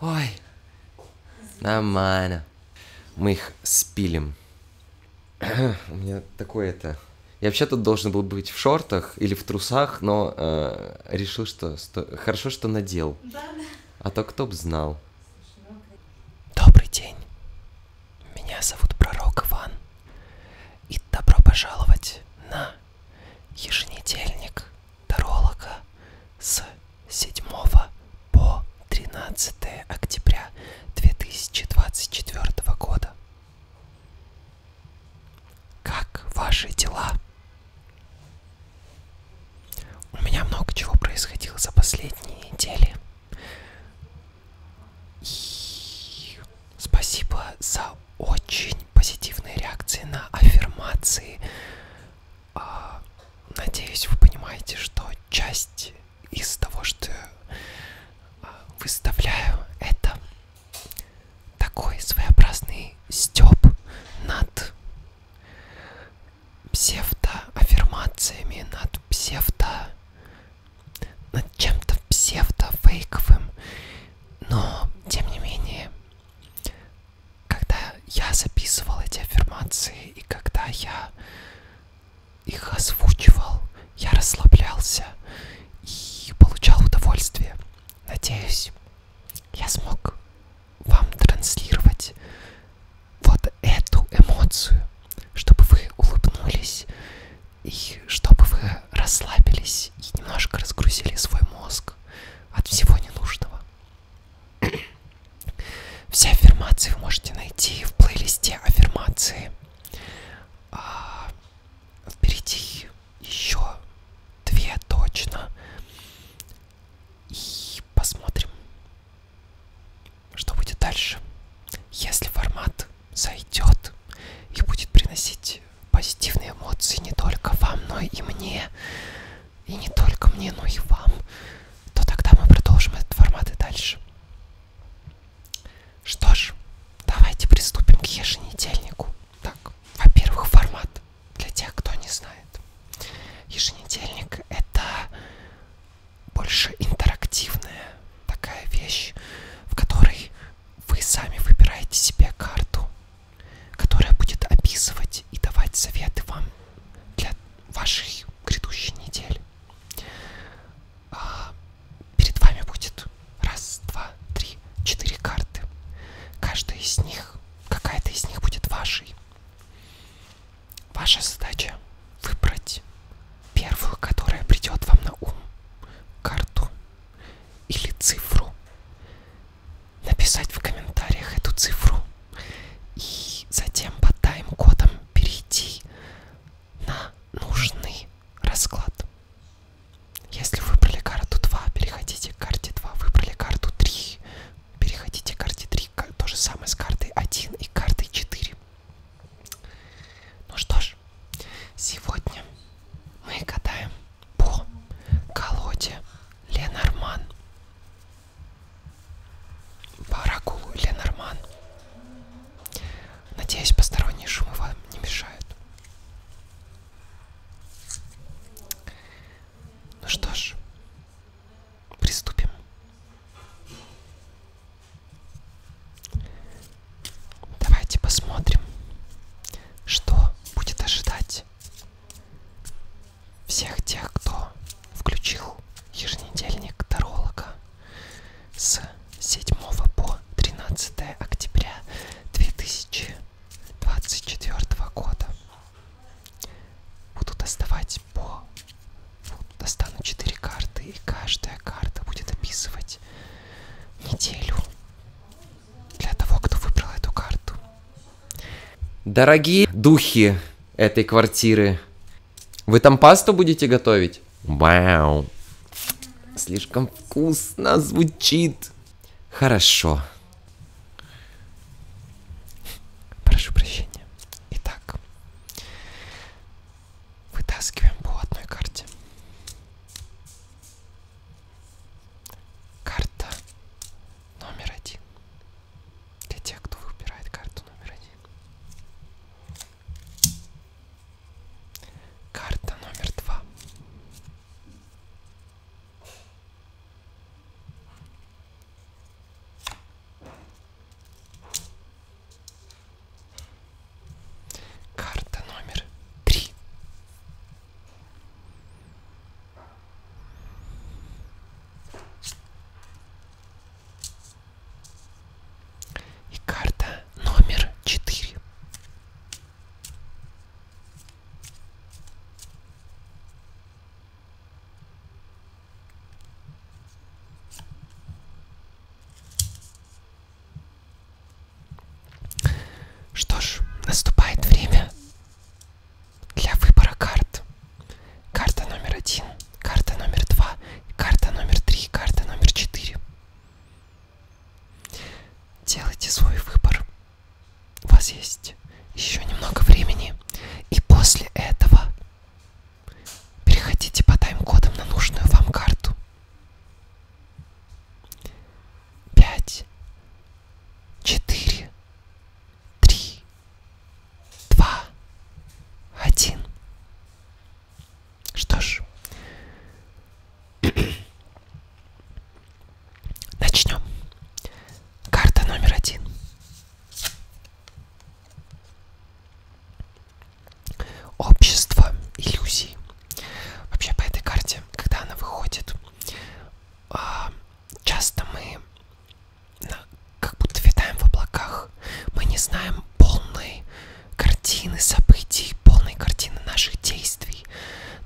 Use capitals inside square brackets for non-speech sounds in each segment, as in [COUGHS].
Ой, нормально. Мы их спилим. У меня такое-то... Я вообще тут должен был быть в шортах или в трусах, но э, решил, что сто... хорошо, что надел. Да, да. А то кто б знал. Добрый день. Меня зовут Пророк Иван. И добро пожаловать на еженедельник таролога с 7 по 13 октября 2024 года. Как ваши дела? У меня много чего происходило за последние недели. И спасибо за очень позитивные реакции на аффирмации а, надеюсь, вы понимаете, что часть из того, что я а, выставляю, это такой своеобразный стёб над псевдоаффирмациями, над псевдо... над чем-то псевдофейковым, но, тем не менее, когда я записывал эти аффирмации и когда я их озвучивал, я расслаблялся и получал удовольствие. Надеюсь, я смог вам транслировать вот эту эмоцию, чтобы вы улыбнулись и чтобы вы расслабились и немножко разгрузили свой мозг от всего ненужного. [COUGHS] Все аффирмации вы можете найти в плейлисте аффирмации. А, впереди еще две точно. И посмотрим, что будет дальше. Если формат зайдет и будет приносить позитивные эмоции не только вам, но и мне, и не только мне, но и вам, то тогда мы продолжим этот формат и дальше. Что ж, давайте приступим к еженедельнику. Так, во-первых, формат для тех, кто не знает. Еженедельник это больше интерактивная такая вещь, в которой вы сами выбираете себе карту которая будет описывать и давать советы вам для вашей грядущей недели. А, перед вами будет раз, два, три, четыре карты. Каждая из них, какая-то из них будет вашей. Ваша задача выбрать первую, которая придет вам на ум, карту или цифру, написать в комментариях эту цифру и затем по тайм-кодам перейти на нужный расклад. Если выбрали карту 2, переходите к карте 2. Выбрали карту 3, переходите к карте 3. То же самое с картой 1 и картой 4. Ну что ж, сегодня мы гадаем по колоде Ленорман. Баракулу Ленорман. Надеюсь, посторонние шумы вам не мешают. Ну что ж, приступим. Давайте посмотрим, что будет ожидать всех тех, кто включил еженедельник Таролога с 7 по 13 октября 2024 года. Буду доставать по... Достану 4 карты, и каждая карта будет описывать неделю для того, кто выбрал эту карту. Дорогие духи этой квартиры, вы там пасту будете готовить? Вау. Слишком вкусно звучит. Хорошо. Прошу прощения. Итак, вытаскиваем по одной карте. Карта номер один. Для тех, кто выбирает карту номер один. Карта номер два. Карта номер три. И карта номер четыре. Что ж, наступает время для выбора карт. Карта номер один, карта номер два, карта номер три, карта номер четыре. Делайте свой выбор. У вас есть еще немного времени. И после этого переходите по тайм-кодам на нужную вам карту. 5, 4, три, два, один. Что ж, [CLEARS THROAT] начнем. Карта номер один. Общество иллюзий. Вообще по этой карте, когда она выходит, а, часто мы как будто витаем в облаках. Мы не знаем полной картины событий, полной картины наших действий.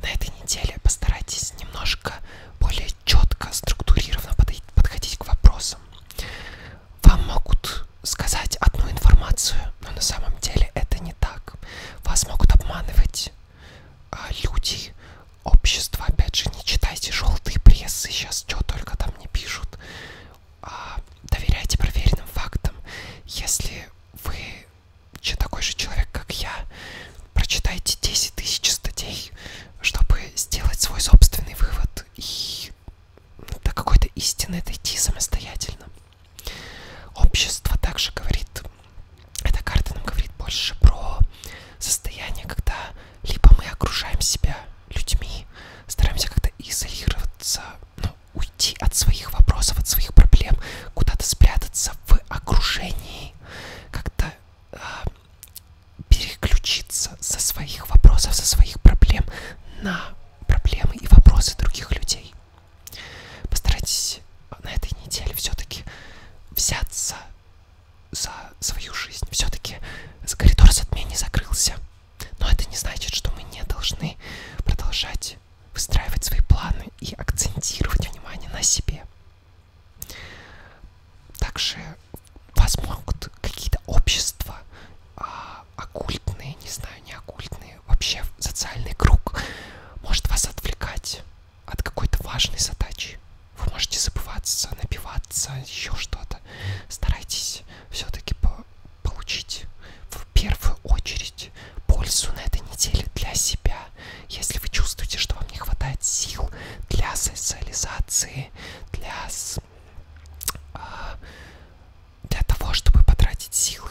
На этой неделе постарайтесь немножко более четко, структурированно подходить к вопросам. Вам могут сказать одну информацию, но на самом деле это не так. Вас могут обманывать а, люди, общество, опять же, не читайте желтые прессы, сейчас что только там не пишут. А, доверяйте проверенным фактам. Если вы такой же человек, как я, прочитайте 10 тысяч статей, чтобы сделать свой собственный вывод и ну, до какой-то истины дойти самостоятельно. Общество также говорит, эта карта нам говорит больше про состояние, когда либо мы окружаем себя людьми, стараемся как-то изолироваться, ну, уйти от своих вопросов, от своих проблем, куда-то спрятаться в окружении, как-то э, переключиться со своих вопросов, со своих проблем на проблемы и вопросы других людей. Постарайтесь на этой неделе все-таки взяться за свою жизнь. Все-таки коридор затмений закрылся. Но это не значит, что мы не должны продолжать выстраивать свои планы и акцентировать внимание на себе. Также вас могут какие-то общества, а, оккультные, не знаю, не оккультные, вообще социальный круг может вас отвлекать от какой-то важной задачи. Вы можете забываться, напиваться, еще что-то. Старайтесь все-таки по получить в первую очередь пользу на этой неделе для себя. Если вы чувствуете, что вам не хватает сил для социализации, для, а, для того, чтобы потратить силы,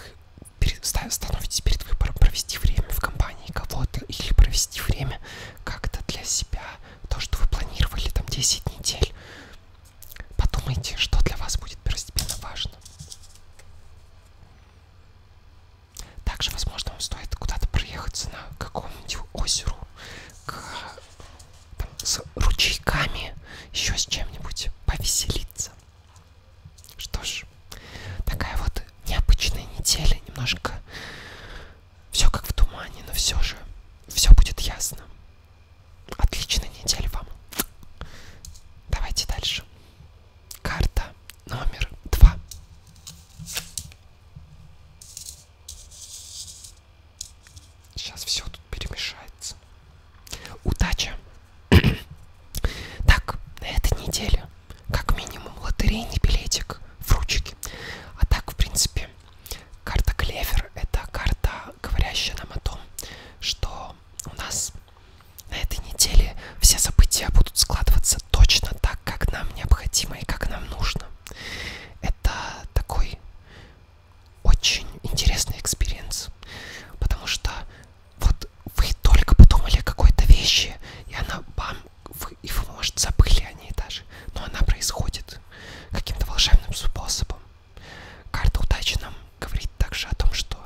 становитесь перед выбором провести время в компании кого-то или провести время как-то для себя, то, что вы планировали там 10 недель. Подумайте, что для вас будет первостепенно важно. Также, возможно, вам стоит куда-то проехаться на какому-нибудь озеру к, там, с ручейками, еще с чем-нибудь повеселиться. Что ж, такая вот необычная неделя, немножко все как в тумане, но все же все будет ясно. Отличной недели вам. Давайте дальше. Карта номер два. Сейчас все тут перемешается. Удача. [CLEARS THROAT] так, на этой неделе как минимум лотерейный билетик в ручке. А так, в принципе, карта Клевер — это карта, говорящая нам о том, что у нас на этой неделе все события будут складываться точно так, как нам необходимо и как нам нужно. Это такой очень интересный экспириенс, потому что вот вы только подумали о какой-то вещи, и она бам, вы его, может, забыли о ней даже, но она происходит каким-то волшебным способом. Карта удачи нам говорит также о том, что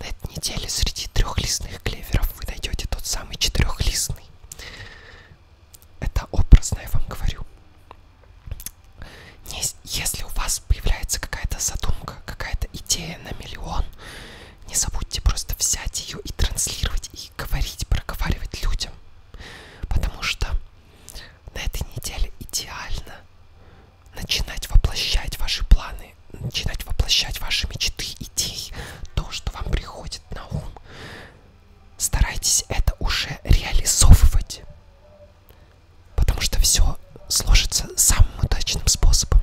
на этой неделе среди трехлистных клеверов вы найдете тот самый четырехлистный. Это образно, я вам говорю. Если у вас появляется какая-то задумка, какая-то идея на миллион, не забудьте просто взять ее и транслировать, и и говорить, проговаривать людям. Потому что на этой неделе идеально начинать воплощать ваши планы, начинать воплощать ваши мечты, идеи, то, что вам приходит на ум. Старайтесь это уже реализовывать. Потому что все сложится самым удачным способом.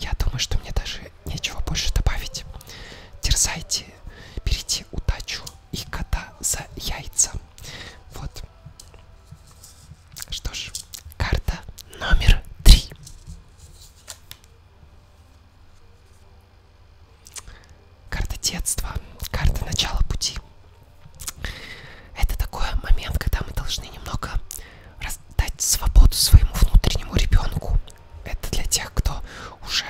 Я думаю, что мне даже нечего больше добавить. Терзайте, берите удачу и кота за яйца. Вот. Что ж, карта номер три. Карта детства, карта начала пути. Это такой момент, когда мы должны немного дать свободу своему внутреннему ребенку. Это для тех, кто уже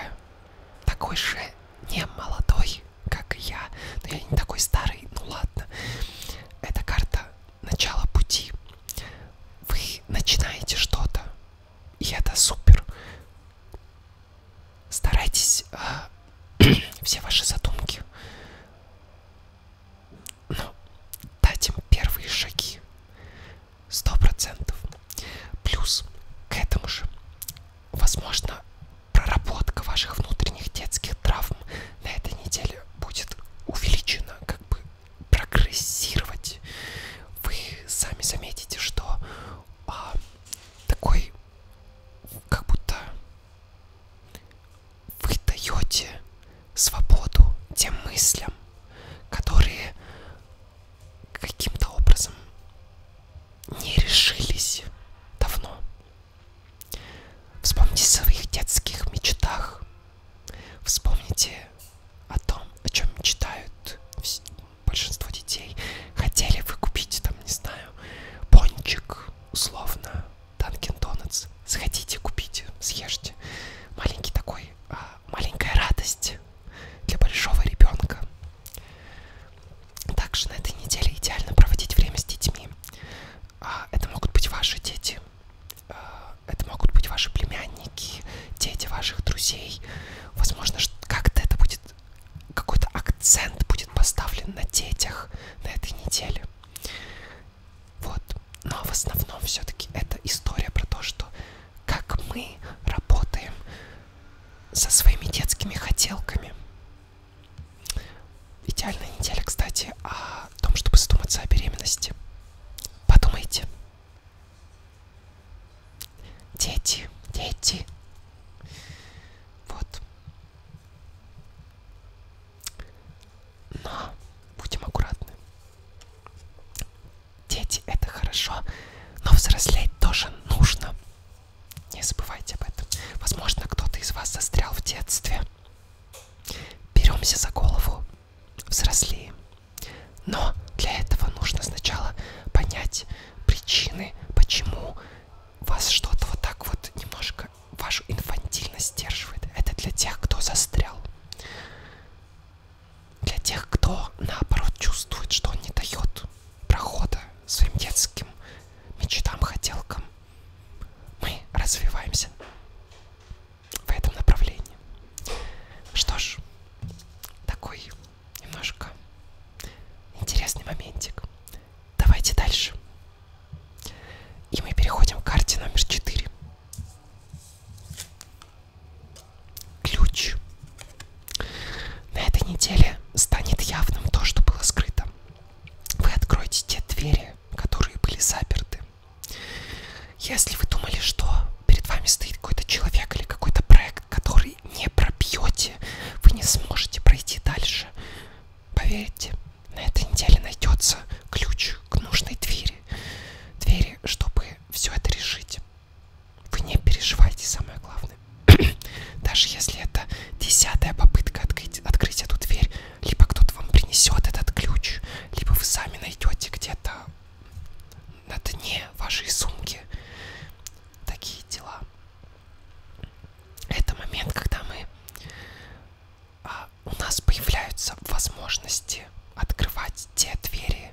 такой же не молодой, как и я, но я не такой старый, ну ладно. Это карта начала пути. Вы начинаете что-то, и это супер. Старайтесь э, [CLEARS THROAT] все ваши задумки. Ну, дать им первые шаги сто процентов плюс к этому же возможно проработка ваших внутренних детских травм на этой неделе будет увеличена как бы прогрессировать вы сами заметите что а, такой как будто вы даете свободу тем мыслям которые каким-то образом не решились давно. Вспомните о своих детских мечтах. Вспомните о том, о чем мечтают большинство детей. Хотели вы купить, там, не знаю, пончик, условно, Dunkin' Donuts. Сходите, купите, съешьте. Маленький такой, а, маленькая радость для большого ребенка. Также на этой неделе идеально проводить время с детьми. А, это могут быть ваши дети, а, это могут быть ваши племянники, дети ваших друзей. Возможно, как-то это будет, какой-то акцент будет поставлен на детях на этой неделе. Вот. Но в основном все-таки это история про то, что как мы работаем со своими детскими хотелками. Идеальная неделя, кстати, о том, чтобы задуматься о беременности. Подумайте. Дети, дети. Вот. Но будем аккуратны. Дети — это хорошо, но взрослеть тоже нужно. Не забывайте об этом. Возможно, кто-то из вас застрял в детстве. Беремся за голову, взрослеем. Но для этого нужно сначала понять причины, почему вас что-то вот так вот немножко вашу инфантильность сдерживает. Это для тех, кто застрял для тех, кто наоборот чувствует, что он не дает прохода своим детским мечтам, хотелкам. Мы развиваемся в этом направлении. Что ж, такой немножко интересный моментик. Давайте дальше. И мы переходим к карте номер 4 ключ. На этой неделе станет явным то, что было скрыто. Вы откроете те двери, которые были заперты. Если вы думали, что перед вами стоит какой-то человек или какой-то проект, который не пробьете, вы не сможете пройти дальше. Поверьте, на этой неделе найдется ключ к нужной двери. Двери, чтобы все это решить. Вы не переживайте, самое главное. [CLEARS THROAT] Даже если это десятая попытка открыть, открыть эту дверь, либо кто-то вам принесет этот ключ, либо вы сами найдете где-то на дне вашей сумки. Такие дела. Это момент, когда мы... А, у нас появляются возможности открывать те двери,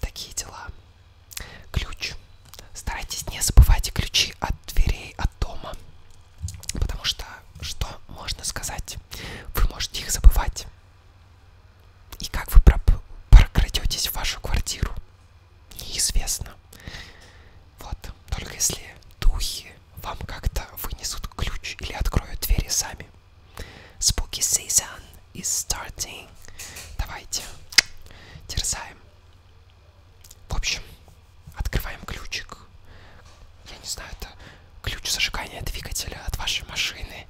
такие дела. Ключ. Старайтесь не забывать ключи от дверей, от дома. Потому что, что можно сказать, вы можете их забывать. И как вы прокрадетесь в вашу квартиру, неизвестно. Вот, только если духи вам как-то вынесут ключ или откроют двери сами. Spooky season is starting. Давайте терзаем. В общем, открываем ключик. Я не знаю, это ключ зажигания двигателя от вашей машины,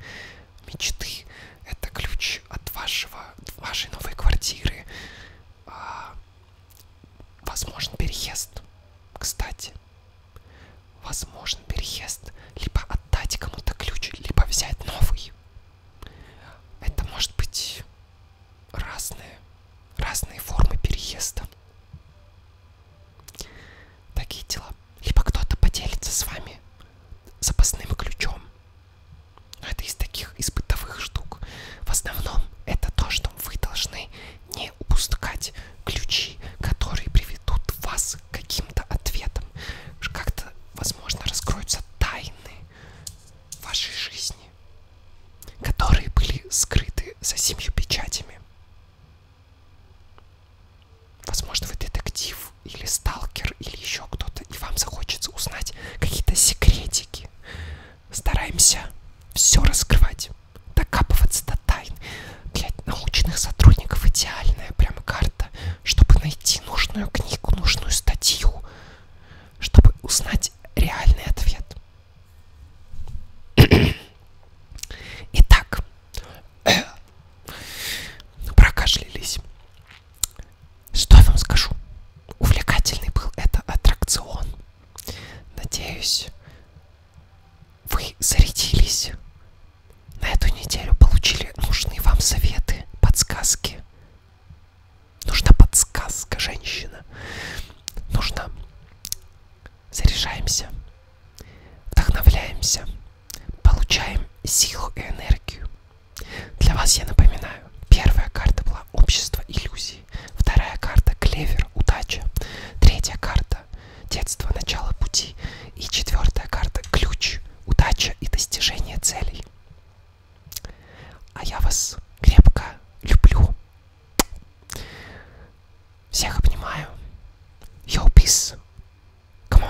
мечты. Это ключ от вашего, вашей новой квартиры. А, возможен переезд, кстати возможен переезд. Либо отдать кому-то ключ, либо взять новый. Это может быть разные, разные формы переезда. Такие дела. Либо кто-то поделится с вами запасным ключом. Но это из таких, из бытовых штук. В основном это то, что вы должны не упускать ключи, которые приведут вас с каким-то ответом. Как-то, возможно, раскроются тайны вашей жизни, которые были скрыты за семью печатями. Возможно, вы детектив или сталкер или еще кто-то, и вам захочется узнать какие-то секретики. Стараемся все раскрывать, докапываться до тайн. Для научных сотрудников идеальная прям карта надо, чтобы найти нужную книгу, нужную статью, чтобы узнать реальный ответ. [CLEARS THROAT] Итак, [CLEARS THROAT] прокашлялись. Что я вам скажу? Увлекательный был это аттракцион. Надеюсь, вы зарядились на эту неделю получили нужные вам советы, подсказки. Нужна подсказка, женщина. Нужно заряжаемся, вдохновляемся, получаем силу и энергию. Для вас я напоминаю, первая карта была общество иллюзий, вторая карта клевер, удача, третья карта детство, начало пути и четвертая карта ключ, удача и достижение целей. А я вас крепко люблю. Всех обнимаю. Yo, peace. Come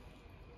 on.